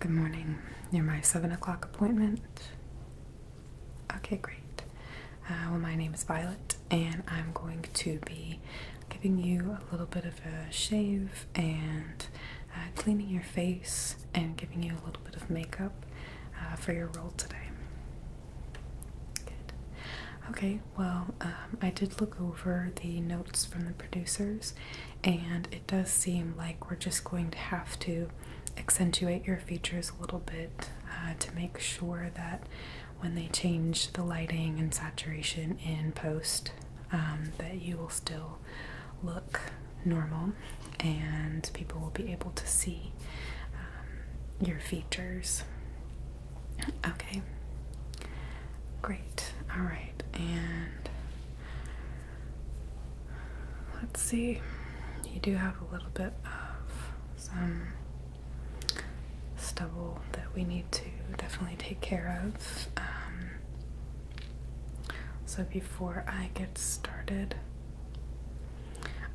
Good morning. You're my 7 o'clock appointment. Okay, great. Uh, well, my name is Violet, and I'm going to be giving you a little bit of a shave and uh, cleaning your face and giving you a little bit of makeup uh, for your role today. Good. Okay, well, um, I did look over the notes from the producers, and it does seem like we're just going to have to accentuate your features a little bit uh, to make sure that when they change the lighting and saturation in post um, that you will still look normal and people will be able to see um, your features okay great all right and Let's see. You do have a little bit of some stubble that we need to definitely take care of. Um, so before I get started,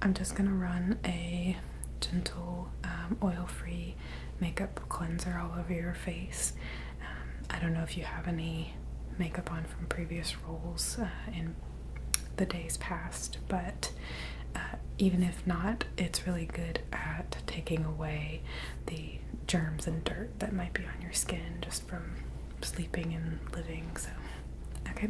I'm just going to run a gentle um, oil-free makeup cleanser all over your face. Um, I don't know if you have any makeup on from previous roles uh, in the days past, but uh, even if not, it's really good at taking away the germs and dirt that might be on your skin just from sleeping and living. So, okay.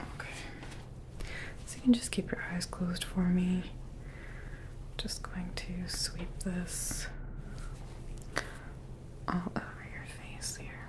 Okay. So you can just keep your eyes closed for me. Just going to sweep this all over your face here.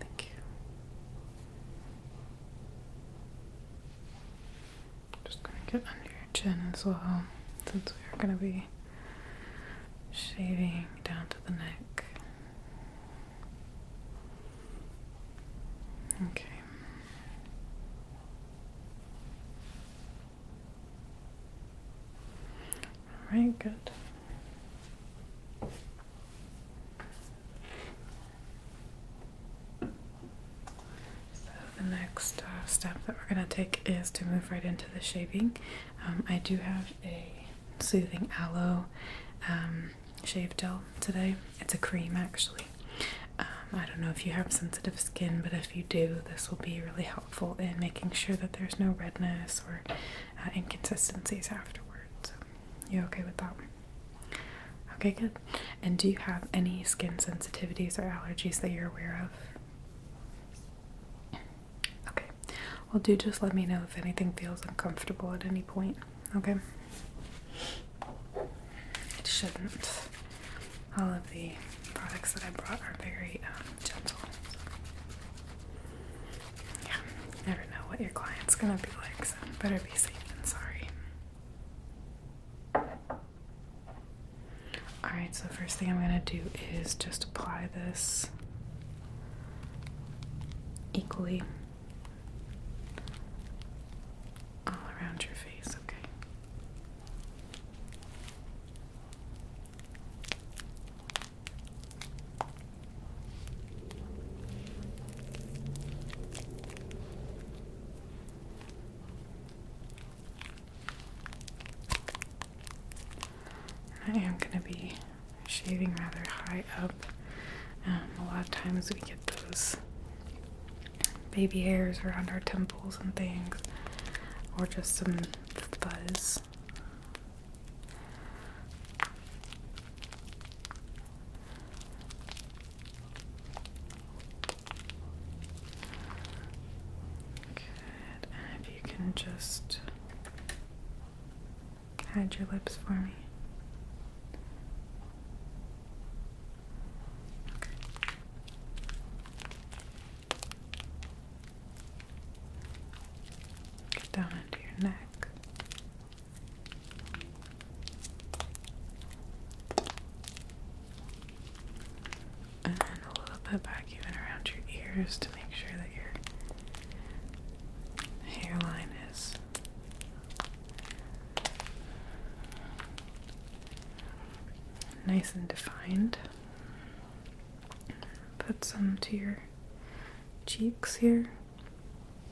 Thank you. Just gonna get under your chin as well, since we're gonna be shaving down to the neck. Okay. All right, good. So the next uh, step that we're going to take is to move right into the shaving. Um, I do have a soothing aloe um, shave gel today. It's a cream actually. Um, I don't know if you have sensitive skin, but if you do, this will be really helpful in making sure that there's no redness or uh, inconsistencies afterwards. You're okay with that? Okay, good. And do you have any skin sensitivities or allergies that you're aware of? Okay. Well, do just let me know if anything feels uncomfortable at any point, okay? It shouldn't. All of the products that I brought are very um, gentle yeah, you never know what your client's gonna be like, so better be safe than sorry. Alright, so first thing I'm gonna do is just apply this equally all around your face, okay. I am going to be shaving rather high up. Um, a lot of times we get those baby hairs around our temples and things, or just some fuzz Good. if you can just hide your lips for me. Get down into your neck. And a little bit back even around your ears to make sure that your hairline is nice and defined. Put some to your cheeks here.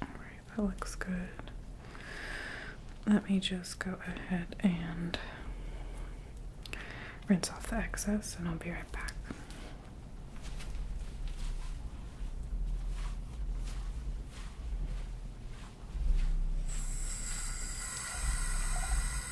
Alright, that looks good. Let me just go ahead and rinse off the excess, and I'll be right back.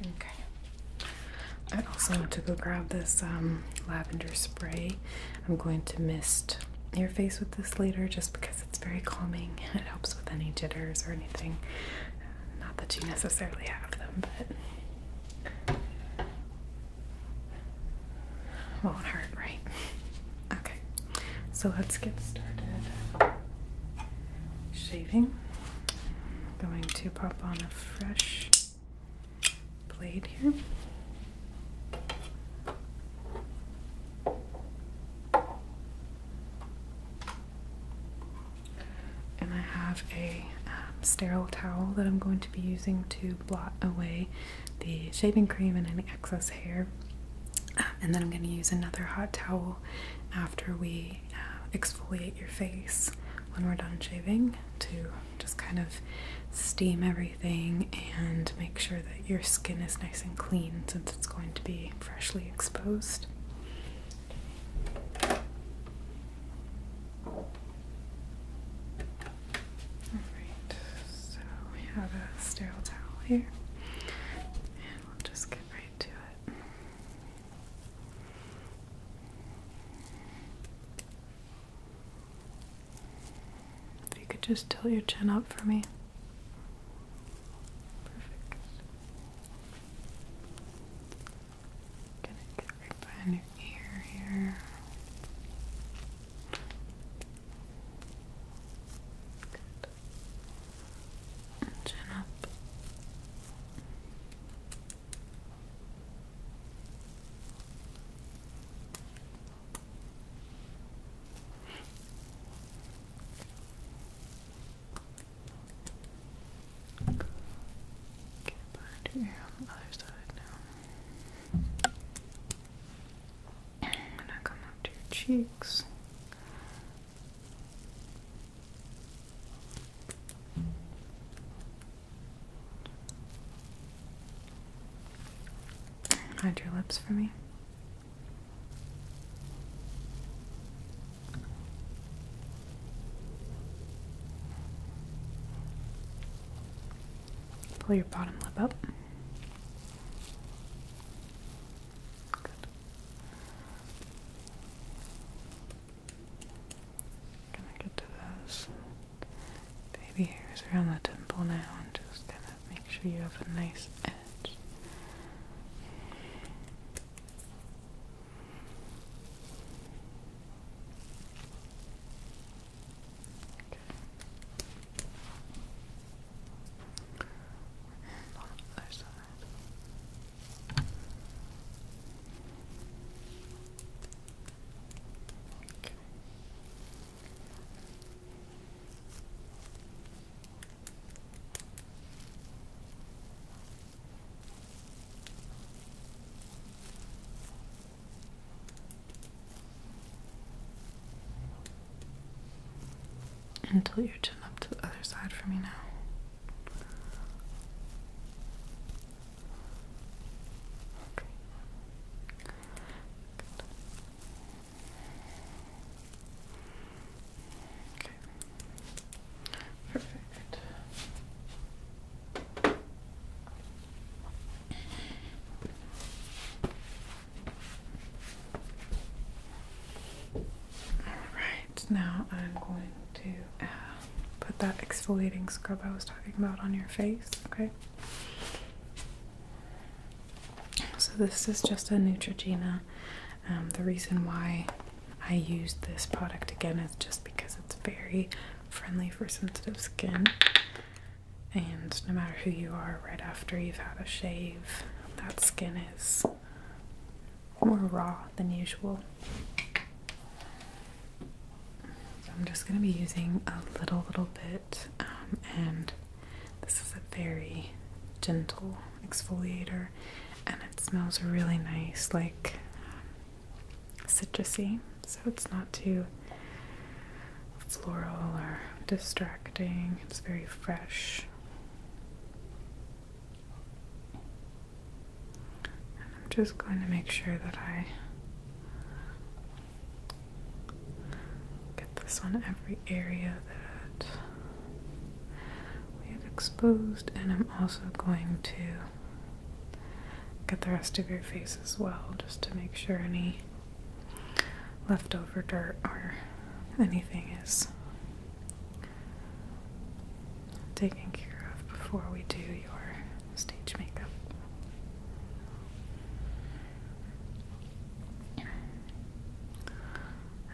Okay. I also want to go grab this um, lavender spray. I'm going to mist your face with this later just because it's very calming. It helps with any jitters or anything. Not that you necessarily have them, but won't oh, hurt, right? Okay, so let's get started shaving. going to pop on a fresh blade here. And I have a um, sterile towel that I'm going to be using to blot away the shaving cream and any excess hair. Um, and then I'm going to use another hot towel after we uh, exfoliate your face when we're done shaving to just kind of steam everything and make sure that your skin is nice and clean since it's going to be freshly exposed. Alright, so we have a sterile towel here, and we'll just get right to it. If you could just tilt your chin up for me. Perfect. Gonna get right behind your ear here. Good. Chin up. Get back here on other side now. I'm gonna come up to your cheeks. Hide your lips for me. Pull your bottom lip up. Good. Gonna get to those baby hairs around the temple now and just kind of make sure you have a nice edge. And on the other side. Okay. Okay. Until tilt your chin up to the other side for me now. Okay. Okay. Perfect. Alright, now I'm going to uh, put that exfoliating scrub I was talking about on your face, okay? So this is just a Neutrogena. Um, the reason why I use this product again is just because it's very friendly for sensitive skin. And no matter who you are, right after you've had a shave, that skin is more raw than usual. So I'm just going to be using a little, little bit, um, and this is a very gentle exfoliator, and it smells really nice, like um, citrusy, so it's not too floral or distracting. It's very fresh. I'm just going to make sure that I get this on every area that we have exposed, and I'm also going to Get the rest of your face as well, just to make sure any leftover dirt or anything is taken care of before we do your stage makeup.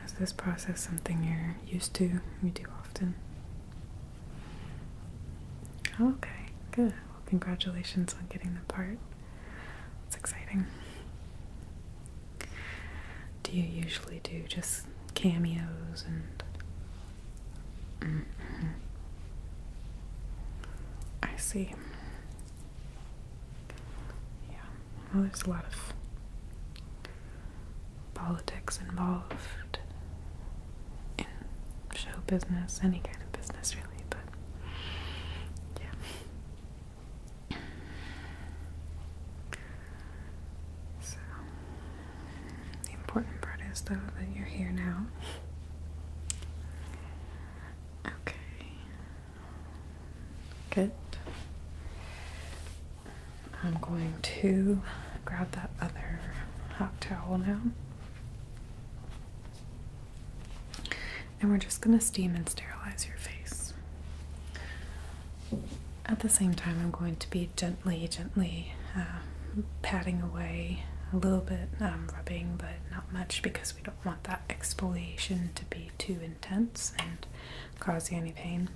Is this process something you're used to? We do often? Okay, good. Well, congratulations on getting the part. It's exciting. Do you usually do just cameos and. Mm-hmm. I see. Yeah, well, there's a lot of politics involved in show business, any kind of business really, but yeah. So the important part is though that you're here now. Okay. Good. I'm going to grab that other hot towel now. And we're just going to steam and sterilize your face. At the same time, I'm going to be gently, gently uh, patting away a little bit, um, rubbing, but not much because we don't want that exfoliation to be too intense and cause you any pain.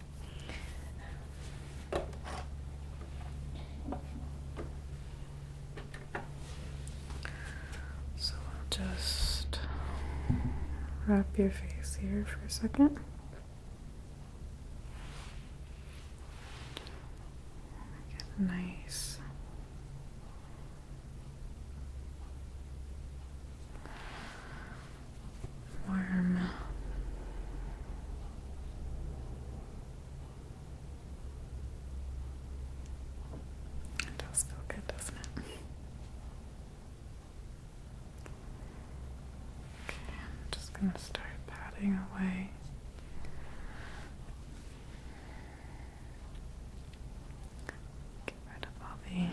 So I'll just wrap your face here for a second. Get nice. Warm it does feel good, doesn't it? Okay, I'm just going to start patting away. Get rid of all the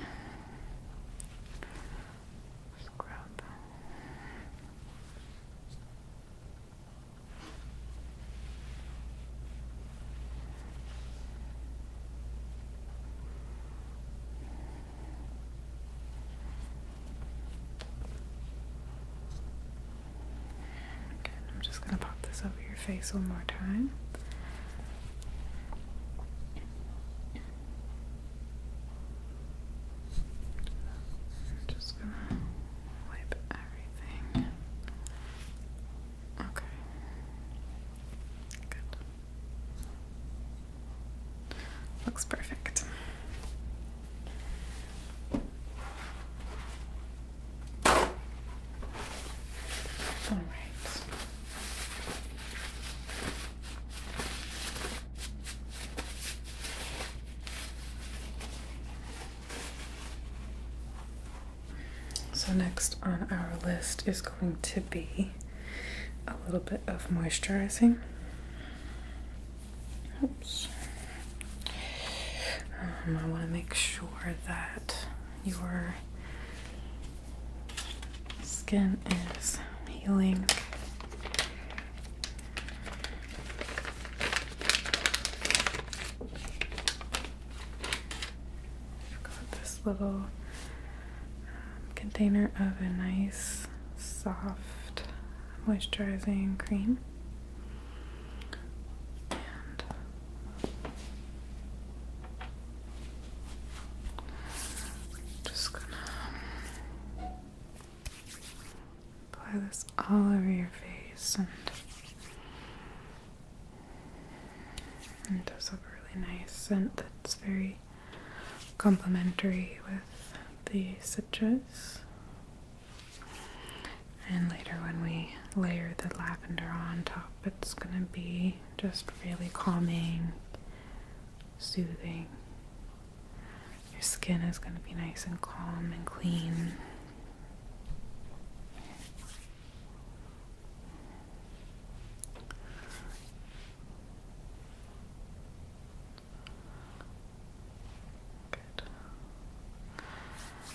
scrub. I'm just going to pop this over your face one more time. just going to wipe everything. Okay. Good. Looks perfect. All right. So, next on our list is going to be a little bit of moisturizing. Oops. Um, I want to make sure that your skin is healing got this little um, container of a nice soft moisturizing cream. And just Apply this all over your face and, it does have a really nice scent that's very complementary with the citrus. And later when we layer the lavender on top, it's going to be just really calming, soothing. Your skin is going to be nice and calm and clean.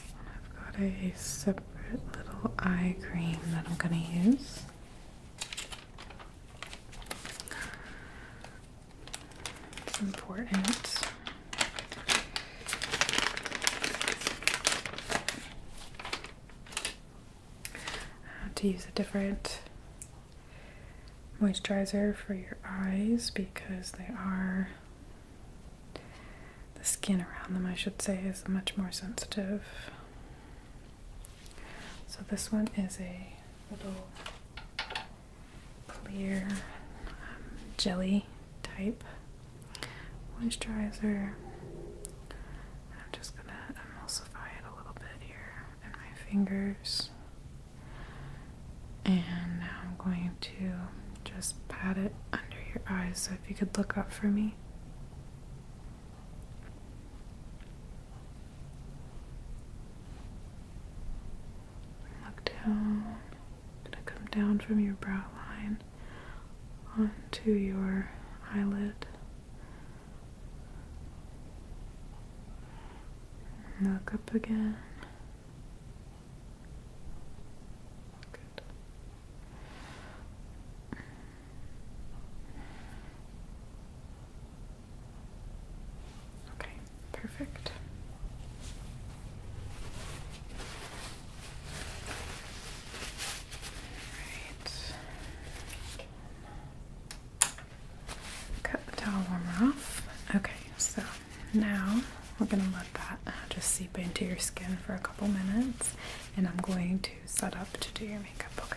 I've got a separate little eye cream that I'm going to use. It's important. Uh, to use a different moisturizer for your eyes because they are the skin around them I should say is much more sensitive so this one is a little clear um, jelly type moisturizer. I'm just gonna emulsify it a little bit here in my fingers. And now I'm going to just pat it under your eyes. So if you could look up for me. Look down. i gonna come down from your brow line onto your eyelid. Look up again. Good. Okay, Perfect. Right. Cut the towel warmer off. Okay, so now we're going to let that uh, just seep into your skin for a couple minutes and I'm going to set up to do your makeup. Okay.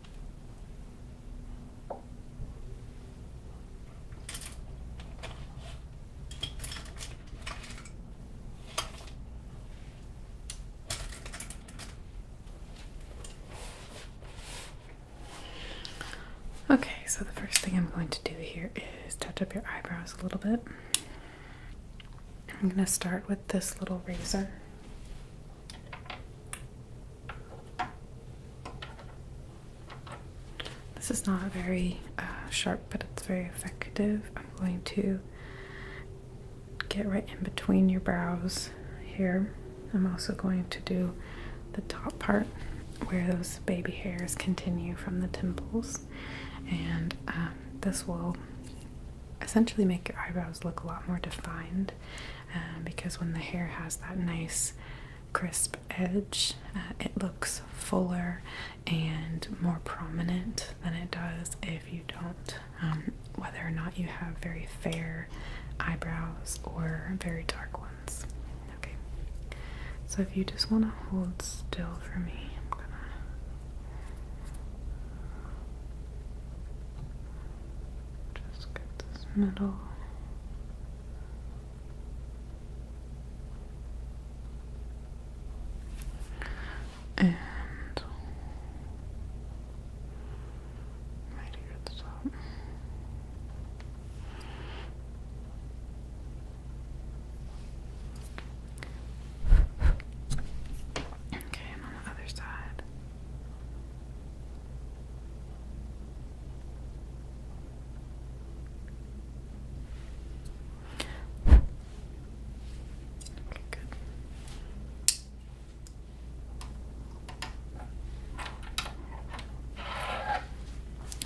Okay, so the first thing I'm going to do here is touch up your eyebrows a little bit. I'm going to start with this little razor. This is not very uh, sharp, but it's very effective. I'm going to get right in between your brows here. I'm also going to do the top part where those baby hairs continue from the temples, and um, this will essentially make your eyebrows look a lot more defined uh, because when the hair has that nice crisp edge, uh, it looks fuller and more prominent than it does if you don't. Um, whether or not you have very fair eyebrows or very dark ones. Okay, so if you just want to hold still for me, just get this middle. And right here at the top. Okay, and on the other side.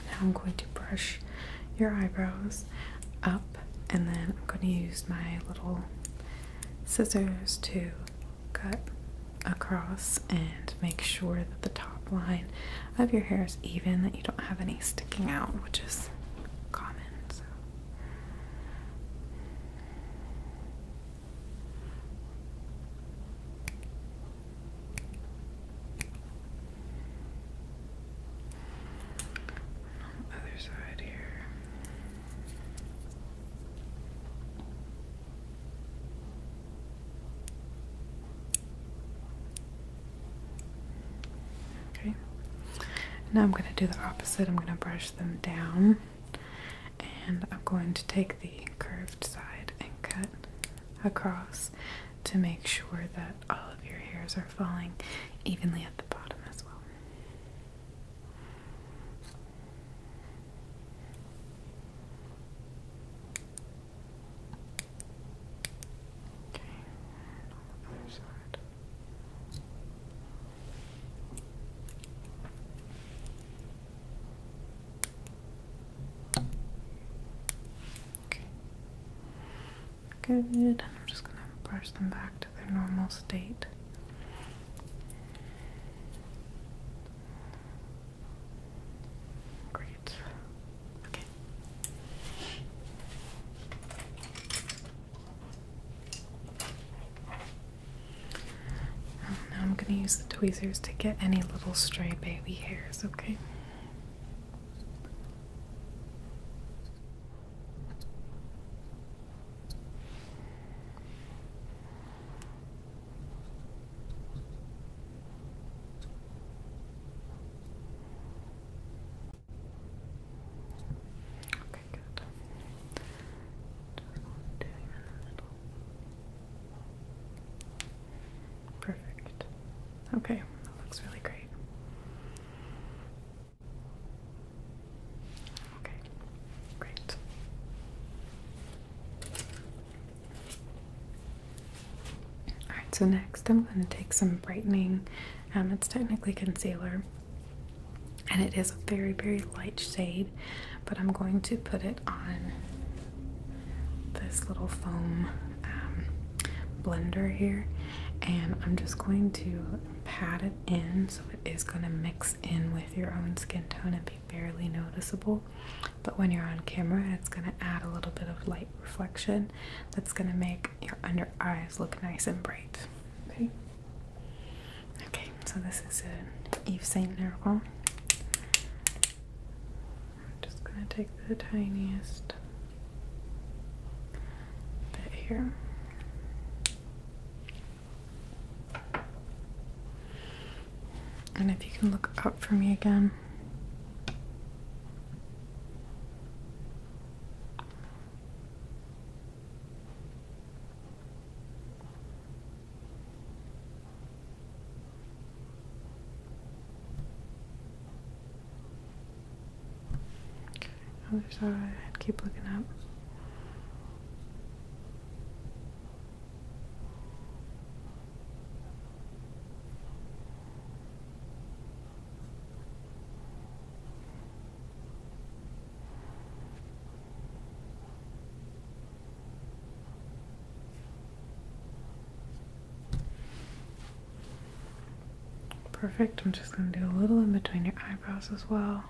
Now I'm going to brush your eyebrows up, and then I'm going to use my little scissors to cut across and make sure that the top line of your hair is even, that you don't have any sticking out, which is common. Other side here. Okay. Now I'm going to do the opposite. I'm going to brush them down and I'm going to take the curved side and cut across to make sure that all of your hairs are falling evenly at the bottom as well. Okay, Good. I'm just going to brush them back to their normal state. Great. Okay. Oh, now I'm going to use the tweezers to get any little stray baby hairs, okay? Okay, good. Just one down in Perfect. Okay, that looks really great. Okay, great. Alright, so next I'm going to take some brightening. Um, it's technically concealer and it is a very, very light shade, but I'm going to put it on this little foam um, blender here and I'm just going to pat it in so it is going to mix in with your own skin tone and barely noticeable but when you're on camera it's going to add a little bit of light reflection that's going to make your under eyes look nice and bright okay okay so this is an Yves Saint Laurent I'm just going to take the tiniest bit here and if you can look up for me again. Okay, oh, other side, keep looking up. Perfect. I'm just going to do a little in between your eyebrows as well.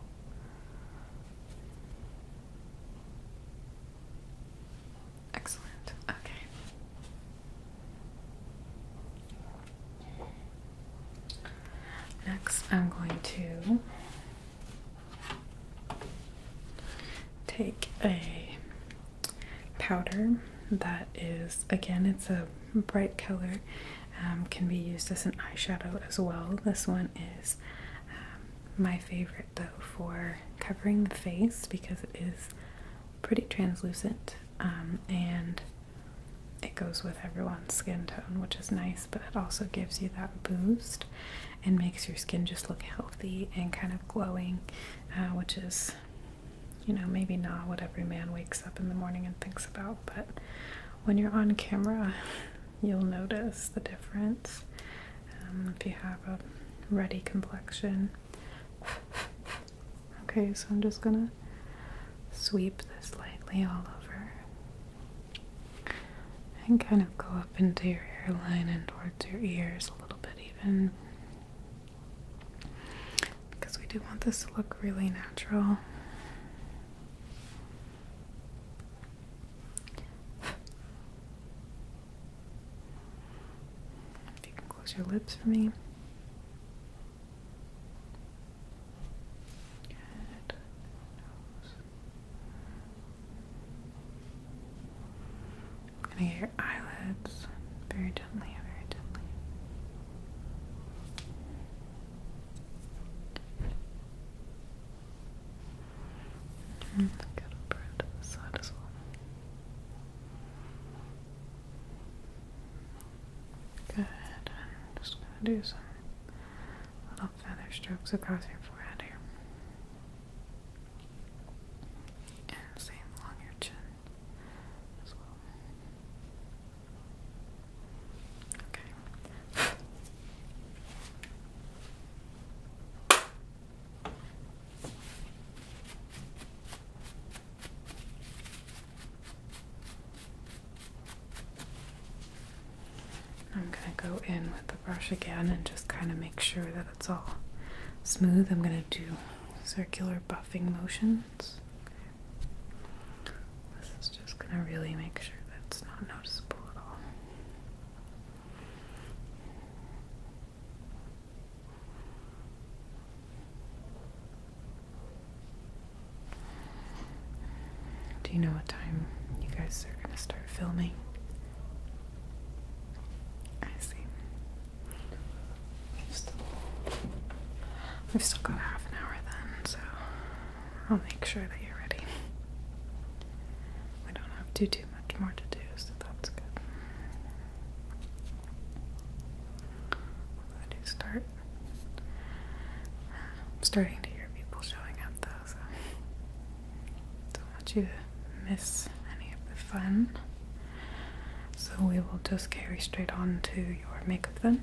Excellent. Okay. Next, I'm going to take a powder that is, again, it's a bright color, um, can be used as an eyeshadow as well. This one is um, my favorite though for covering the face because it is pretty translucent um, and it goes with everyone's skin tone, which is nice, but it also gives you that boost and makes your skin just look healthy and kind of glowing, uh, which is, you know, maybe not what every man wakes up in the morning and thinks about, but when you're on camera, you'll notice the difference. Um, if you have a ruddy complexion. Okay, so I'm just gonna sweep this lightly all over and kind of go up into your hairline and towards your ears a little bit, even because we do want this to look really natural. If you can close your lips for me. I'm gonna get your eyelids very gently, very gently. And get the side as well. Good. I'm just gonna do some little feather strokes across your forehead here. And same along your chin as well. Okay. I'm going to go in with the brush again and just kind of make sure that it's all smooth. I'm going to do circular buffing motions. This is just going to really make sure that it's not noticeable at all. Do you know what time you guys are going to start filming? I see. We've still, got half an hour then, so I'll make sure that you're ready. We don't have to do much more to do, so that's good. I do start. I'm starting to hear people showing up though, so don't want you to miss any of the fun. So we will just carry straight on to your makeup then.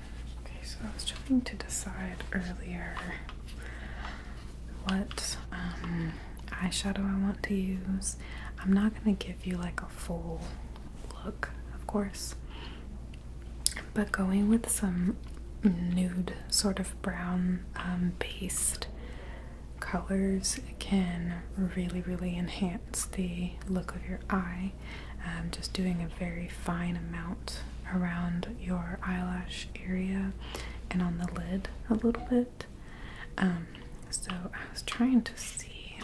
Okay, so I was trying to decide earlier what um, eyeshadow I want to use. I'm not going to give you like a full look, of course, but going with some nude sort of brown um, based colors can really, really enhance the look of your eye. Um, just doing a very fine amount around your eyelash area and on the lid a little bit. Um, so I was trying to see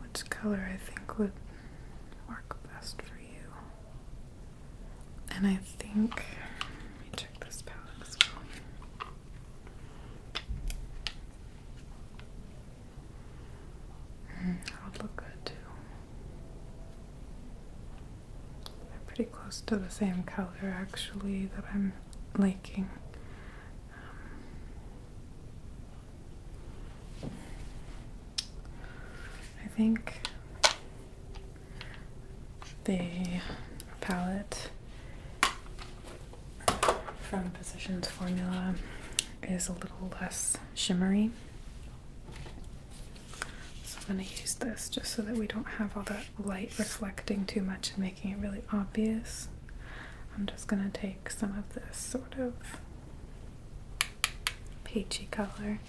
which color I think would work best for you. And I think, let me check this palette as well. Mm, would look good too. They're pretty close to the same color actually that I'm liking. Um, I think the palette from Physicians Formula is a little less shimmery. So I'm going to use this just so that we don't have all that light reflecting too much and making it really obvious. I'm just going to take some of this sort of peachy color.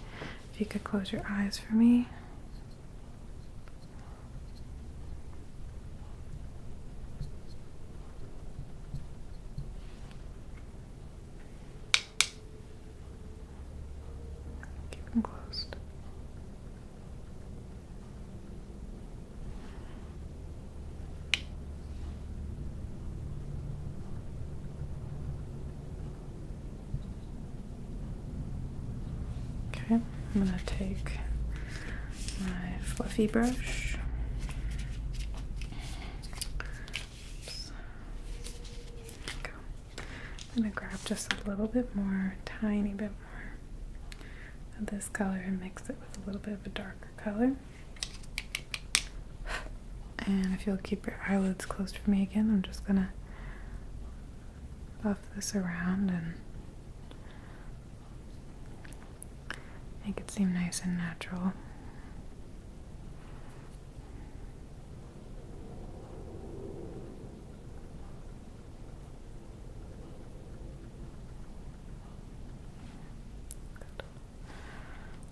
If you could close your eyes for me. Keep them closed. Okay, I'm going to take my fluffy brush I'm going to grab just a little bit more, tiny bit more of this color and mix it with a little bit of a darker color. And if you'll keep your eyelids closed for me again, I'm just going to buff this around and Make it seem nice and natural.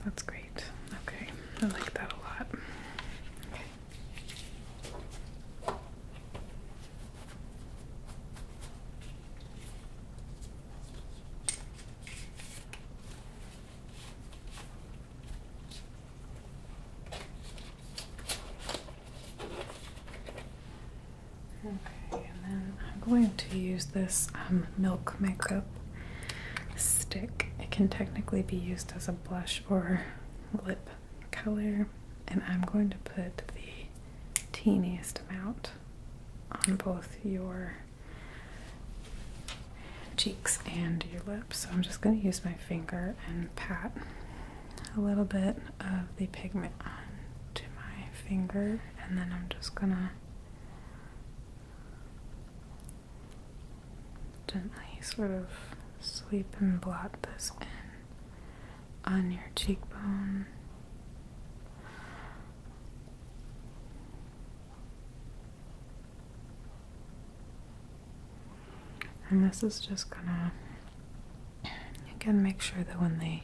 That's great. Okay, I like that a lot. Okay, and then I'm going to use this um, milk makeup stick. It can technically be used as a blush or lip color, and I'm going to put the teeniest amount on both your cheeks and your lips. So I'm just going to use my finger and pat a little bit of the pigment onto my finger, and then I'm just going to gently sort of sweep and blot this in on your cheekbone and this is just gonna again make sure that when they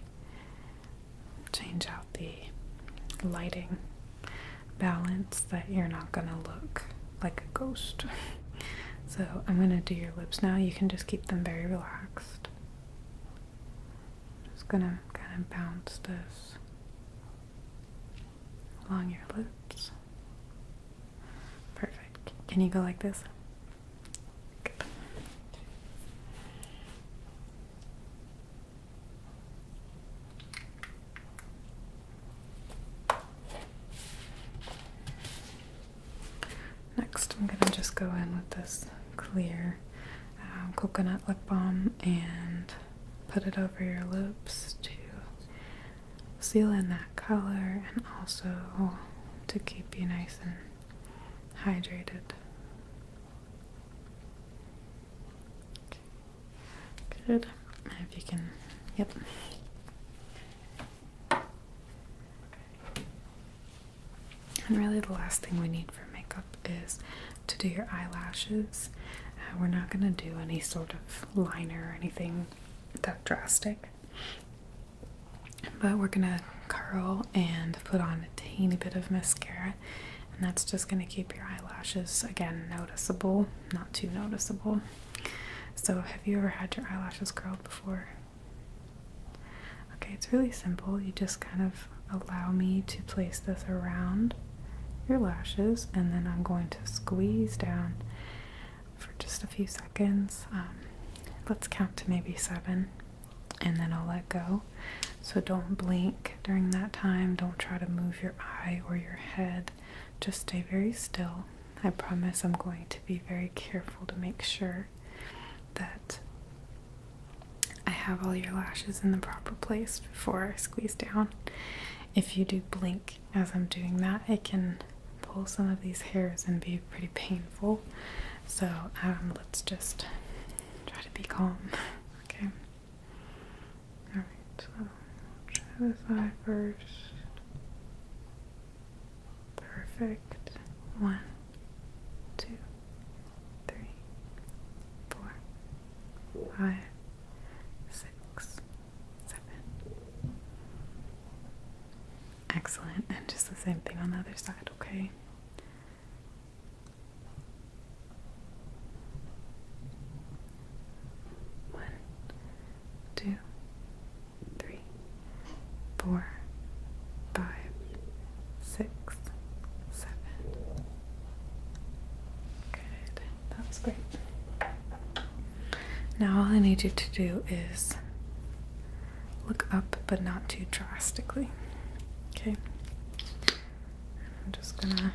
change out the lighting balance that you're not gonna look like a ghost. so I'm gonna do your lips now. You can just keep them very relaxed. Just gonna kind of bounce this along your lips. Perfect. Can you go like this? Next, I'm gonna just go in with this clear um, coconut lip balm and put it over your lips to seal in that color and also to keep you nice and hydrated. Good. If you can, yep. And really, the last thing we need for makeup is to do your eyelashes. Uh, we're not going to do any sort of liner or anything that drastic, but we're going to curl and put on a teeny bit of mascara, and that's just going to keep your eyelashes again noticeable, not too noticeable. So, have you ever had your eyelashes curled before? Okay, it's really simple. You just kind of allow me to place this around your lashes and then I'm going to squeeze down for just a few seconds. Um, let's count to maybe seven and then I'll let go. So don't blink during that time. Don't try to move your eye or your head. Just stay very still. I promise I'm going to be very careful to make sure that I have all your lashes in the proper place before I squeeze down. If you do blink as I'm doing that, it can pull some of these hairs and be pretty painful. So um, let's just try to be calm. Okay. Alright, so i eye first. Perfect. One, two three, four, five, six, seven. Excellent. And just the same thing on the other side, okay? One, two, three, four, five, six, seven, Good. That was great. Now all I need you to do is look up, but not too drastically. Okay. I'm just gonna.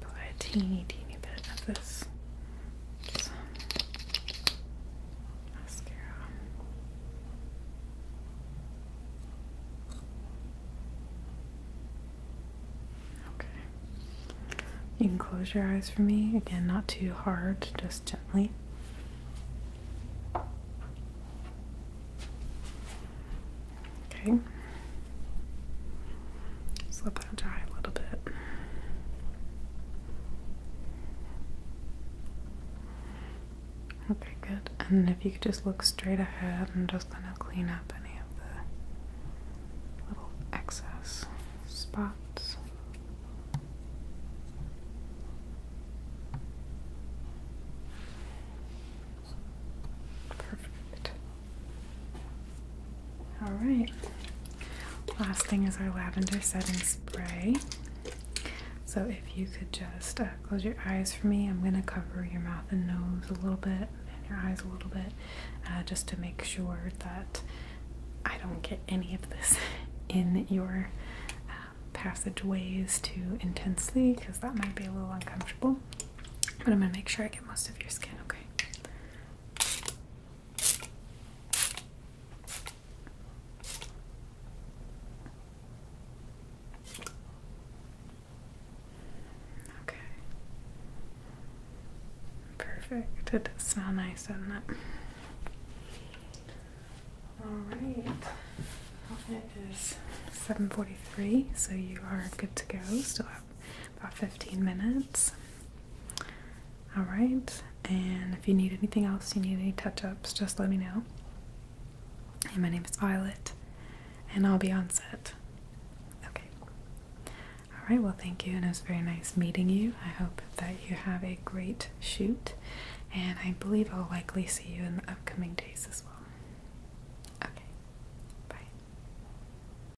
Put a teeny, teeny bit of this mascara. Okay. You can close your eyes for me. Again, not too hard, just gently. Okay. Just let that dry a little bit. Okay, good. And if you could just look straight ahead, I'm just going to clean up any of the little excess spots. Perfect. All right. Last thing is our lavender setting spray. So if you could just uh, close your eyes for me, I'm going to cover your mouth and nose a little bit and your eyes a little bit uh, just to make sure that I don't get any of this in your uh, passageways too intensely because that might be a little uncomfortable. But I'm going to make sure I get most of your skin, okay? Okay. Perfect. It does smell nice, doesn't it? Alright. Well, it is 7.43, so you are good to go. Still about 15 minutes. All right, and if you need anything else, you need any touch ups, just let me know. Hey, my name is Violet, and I'll be on set. Okay. All right, well, thank you, and it was very nice meeting you. I hope that you have a great shoot, and I believe I'll likely see you in the upcoming days as well. Okay, bye.